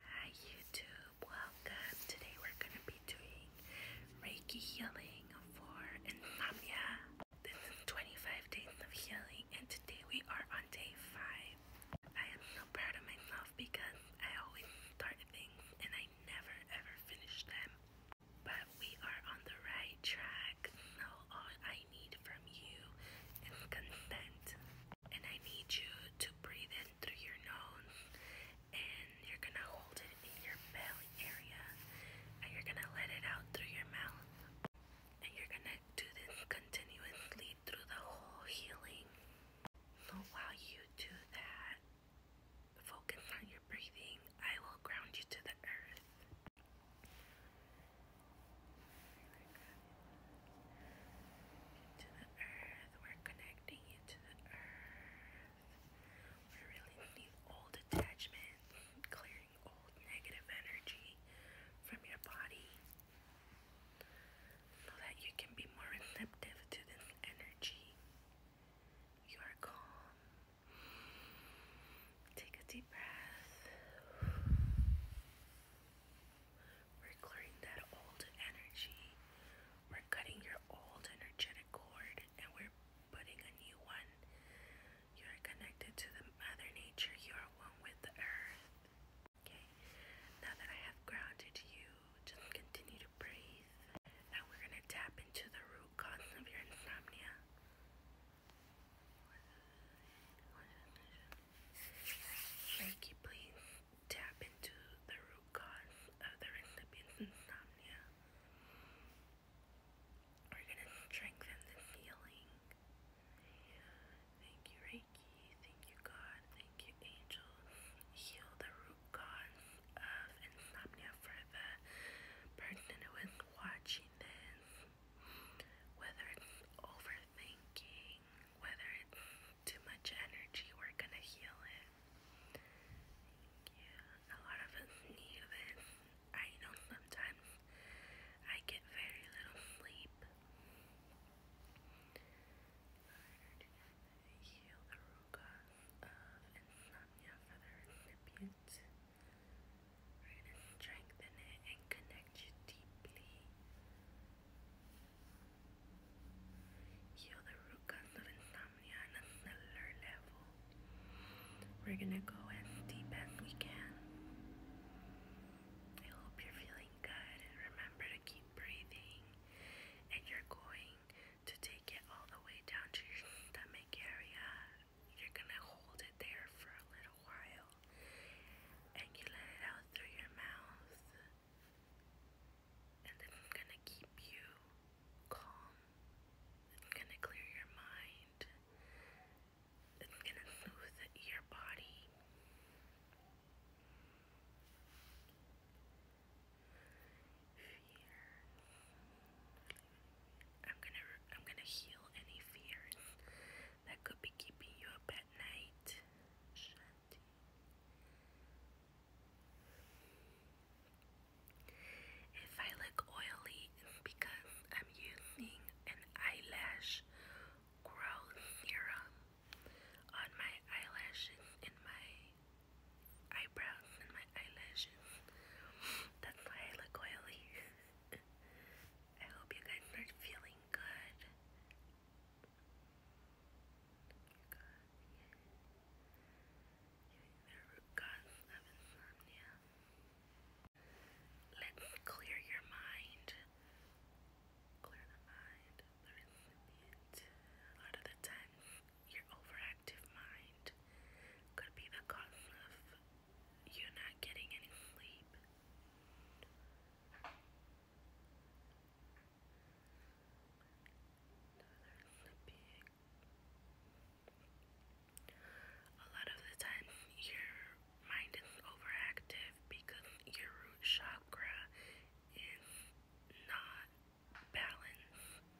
Hi YouTube, welcome. Today we're gonna be doing Reiki healing for insomnia. This is 25 days of healing and today we are on day 5. I am so proud of myself because I always start things and I never ever finish them. But we are on the right track, all I need from you is consent. And I need you to breathe through your nose and you're gonna hold it in your belly area and you're gonna let it out through your mouth. And you're gonna do this continuously through the whole healing. while you do that, focus on your breathing. I will ground you to the earth to the earth. We're connecting you the earth. We're releasing old attachment, clearing old negative energy from your body so that you can be more receptive to this energy. You are calm. Take a deep breath. We're clearing that old energy. We're cutting your old energetic cord and we're putting a new one. You are connected to the Mother Nature. You are one with the earth. Okay, now that I have grounded you, just continue to breathe. Now we're going to tap into the root cause of your insomnia. Reiki, please tap into the root cause of the insomnia. We're going to strengthen this healing. Thank you, Reiki. Thank you, God. Thank you, angels. Heal the root cause of insomnia for the person who is watching this. Whether it's overthinking, whether it's too much energy, we're gonna heal it. Yeah, a lot of us need this. I know sometimes I get very little sleep. Right, and strengthen it and connect you deeply. Heal the root cause of insomnia on a cellular level. We're gonna go as deep as we can. I hope you're feeling good. Remember to keep breathing, and you're going to take it all the way down to your stomach area you're gonna hold it there for a little while and you let it out through your mouth, and it's gonna keep you calm, it's gonna clear your mind, it's gonna smooth your body. I'm gonna I'm gonna heal any fears that could be keeping you up at night. If I look oily, because I'm using an eyelash growth serum on my eyelashes in my eyebrows and my eyelashes. That's why I look oily. I hope you guys are feeling good. There are cause of clear your mind. Clear the mind. a lot of the time your overactive mind could be the cause of you're not getting any sleep. A lot of the time, your mind is overactive because your root chakra is not balanced. We're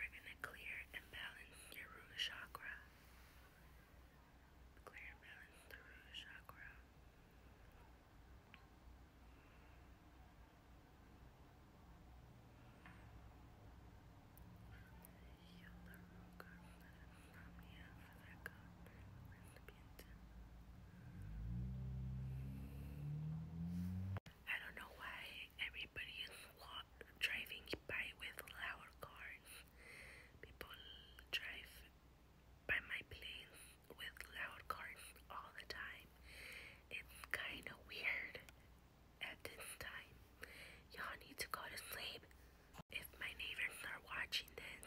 going to clear and balance your root chakra. Clear and balance the root chakra. I don't know why everybody is driving by with loud cars. People drive by my place with loud cars all the time. It's kind of weird at this time. Y'all need to go to sleep. If my neighbors are watching this,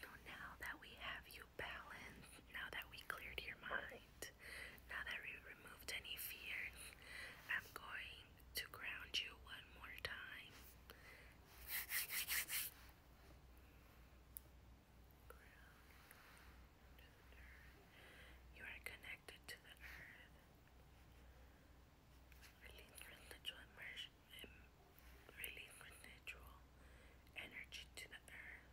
So now that we have you balanced, now that we cleared your mind, now that we removed any fears, I'm going to ground you one more time. You are connected to the earth. Release residual immersion, energy to the earth.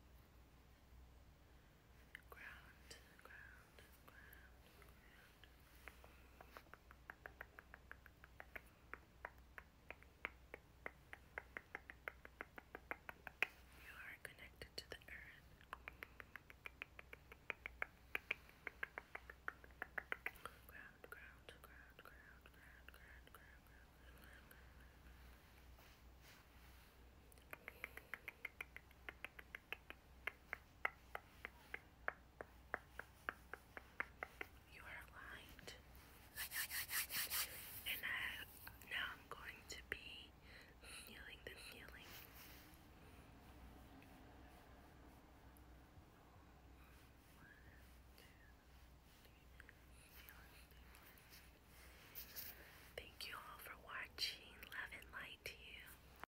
You are connected to the earth. Ground, ground, ground, ground, ground, ground, ground, ground, ground, ground, ground. You are aligned. And now I'm going to be feeling the feeling. Thank you all for watching. Love and light to you.